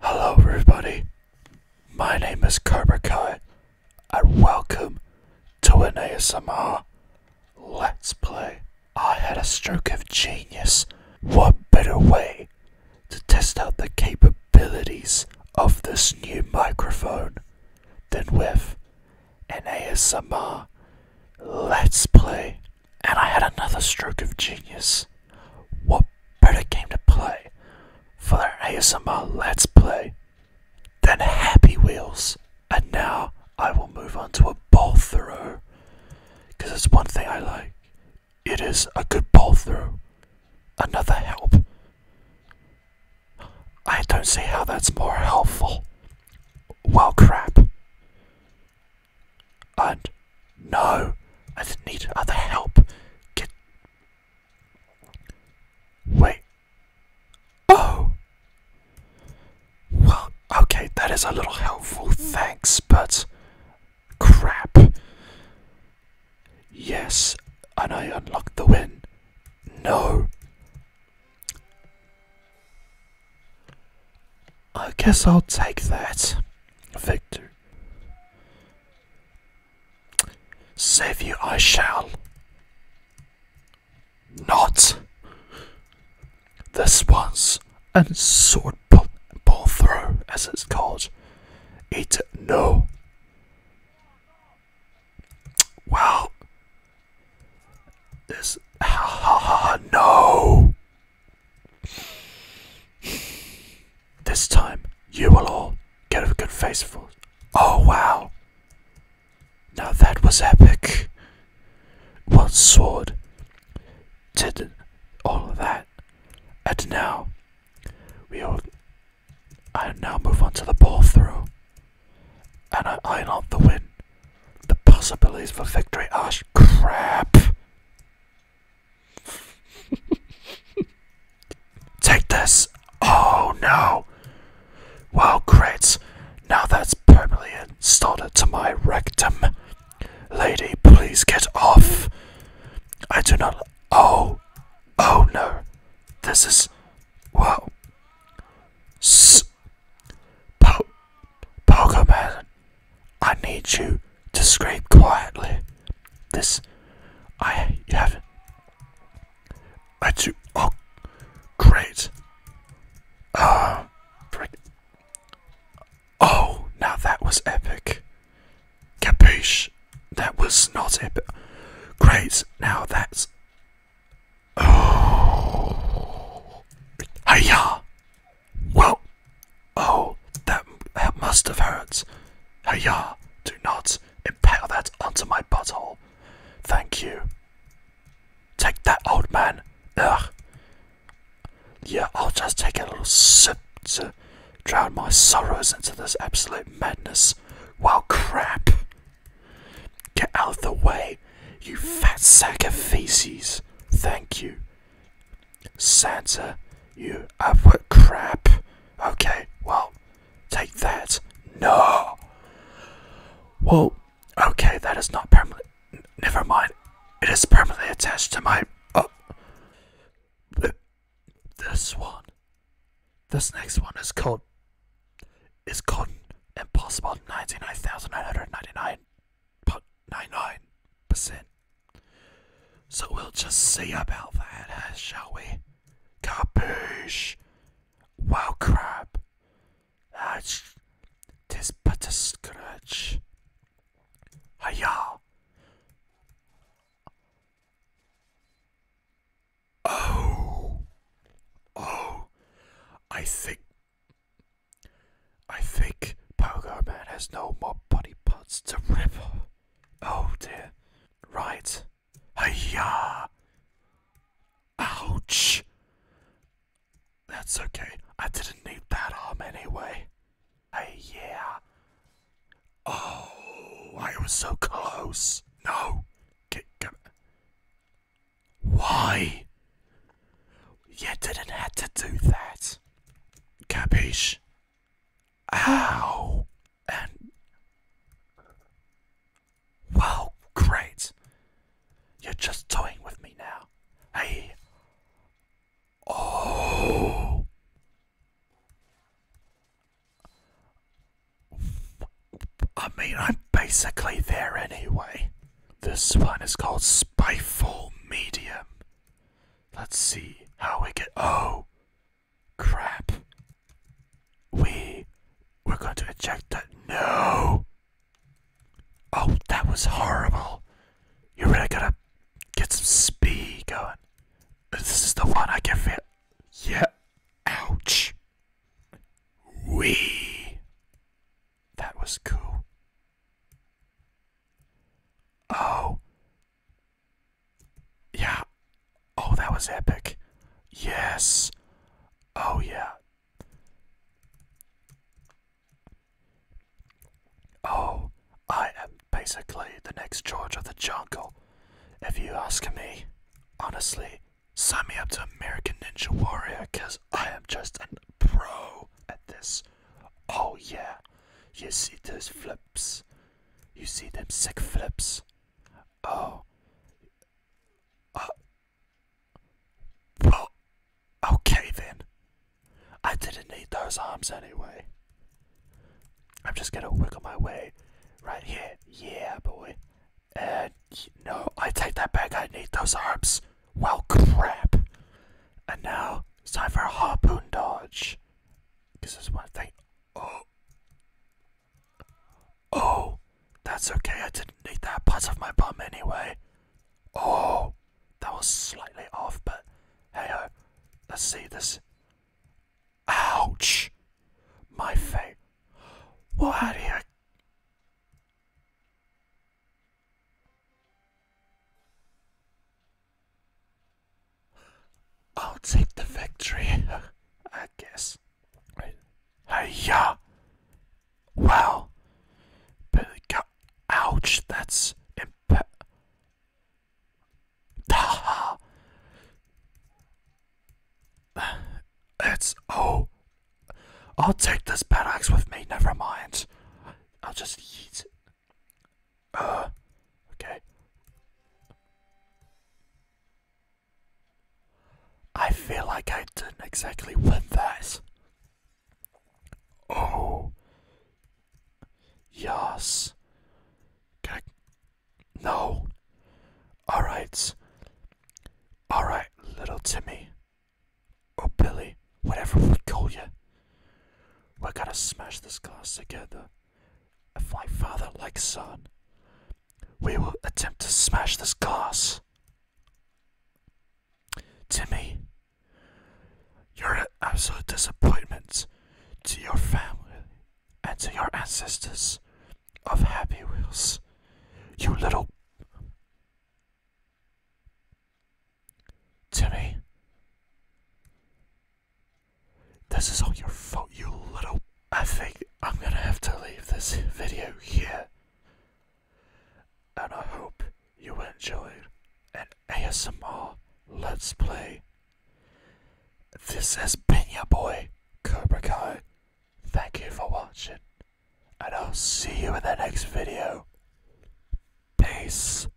Hello, everybody. My name is Cobra Kai, and welcome to an ASMR Let's Play. I had a stroke of genius. What better way to test out the capabilities of this new microphone than with an ASMR Let's Play? And I had another stroke of genius. What better game to play for their ASMR Let's Play than Happy Wheels? And now I will move on to a ball throw because it's one thing I like. It is a good ball throw. Another help. I don't see how that's more helpful. Well, crap. And no, I need other help. Wait. Oh! Well, okay, that is a little helpful, thanks, but. Crap. Yes, and I unlocked the win. No. I guess I'll take that. Victor. Save you I shall. Not. This once and sword pull, pull through, as it's called. Eat It no. Wow. This ha ha no. This time, you will all get a good face for. Oh wow! Now that was epic. What sword did all that, and now we all. I now move on to the ball throw, and I iron out the win. The possibilities for victory are crap. Take this. Oh no. Well, great. Now that's permanently installed to my rectum. Lady, please get off. I do not. Oh. Oh no. This is. Wow. S. Po. Pokemon. I need you to scrape quietly. This, I have. I do. Oh, great. Uh, oh, now that was epic. Capiche? That was not epic. Great, now that's. Oh. yeah. Well, oh, that must have hurt. Hiya, do not impale that onto my butthole. Thank you. Take that, old man. Ugh. Yeah, I'll just take a little sip to drown my sorrows into this absolute madness. Well, crap. Get out of the way. You fat sack of feces. Thank you. Santa, you upward crap. Okay, well, take that. No! Well, okay, that is not permanent. Never mind. It is permanently attached to my. Oh. This one. This next one is called. Is called Impossible 99999. 0.99%. So we'll just see about that, shall we? Capish! Wow, crap! That's. Tis but a scratch. Hiya! Oh! Oh! I think I think Pogo Man has no more body parts to rip. Oh dear. Right. Hiya! Ouch! That's okay. I didn't need that arm anyway. Hey, yeah. Oh, I was so close. No. Get, get. Why? You didn't have to do that. Capiche? Ow! And. Well, great. You're just toying with me now. Hey. Oh. I mean, I'm basically there anyway. This one is called Spyful Medium. Let's see how we get. Oh, crap. We. We're going to eject that. No! Oh, that was horrible. You really gotta get some speed going. This is the one I can fit. Yeah. Ouch. We. That was cool. Oh. Yeah. Oh, that was epic. Yes. Oh, yeah. Oh, I am basically the next George of the Jungle, if you ask me. Honestly, Sign me up to American Ninja Warrior, cause I am just a pro at this. Oh yeah, you see those flips? You see them sick flips? Oh. Uh, well, okay then. I didn't need those arms anyway. I'm just gonna wiggle my way right here. Yeah, boy. And no, I take that back. I need those arms. Well, crap. And now it's time for a harpoon dodge. This is one thing. Oh. Oh. That's okay. I didn't need that part of my bum anyway. Oh. That was slightly off, but hey ho. Let's see this. Ouch. My face. What how do you I'll take the victory, I guess. Hey, yeah. Well, But ouch, that's imp. It's oh, I'll take this bad axe with me. Never mind. I'll just eat. Uh, okay. I feel like I didn't exactly win that. Oh, yes. Okay. No. All right. All right, little Timmy. Or oh, Billy. Whatever we call you. We are going to smash this glass together. If like father, like son. We will attempt to smash this glass. Timmy, you're an absolute disappointment to your family and to your ancestors of Happy Wheels. You little. Timmy. This is all your fault, you little. I think I'm gonna have to leave this video here. And I hope you enjoyed an ASMR Let's Play this has been your boy, Cobra Kai. Thank you for watching, and I'll see you in the next video. Peace.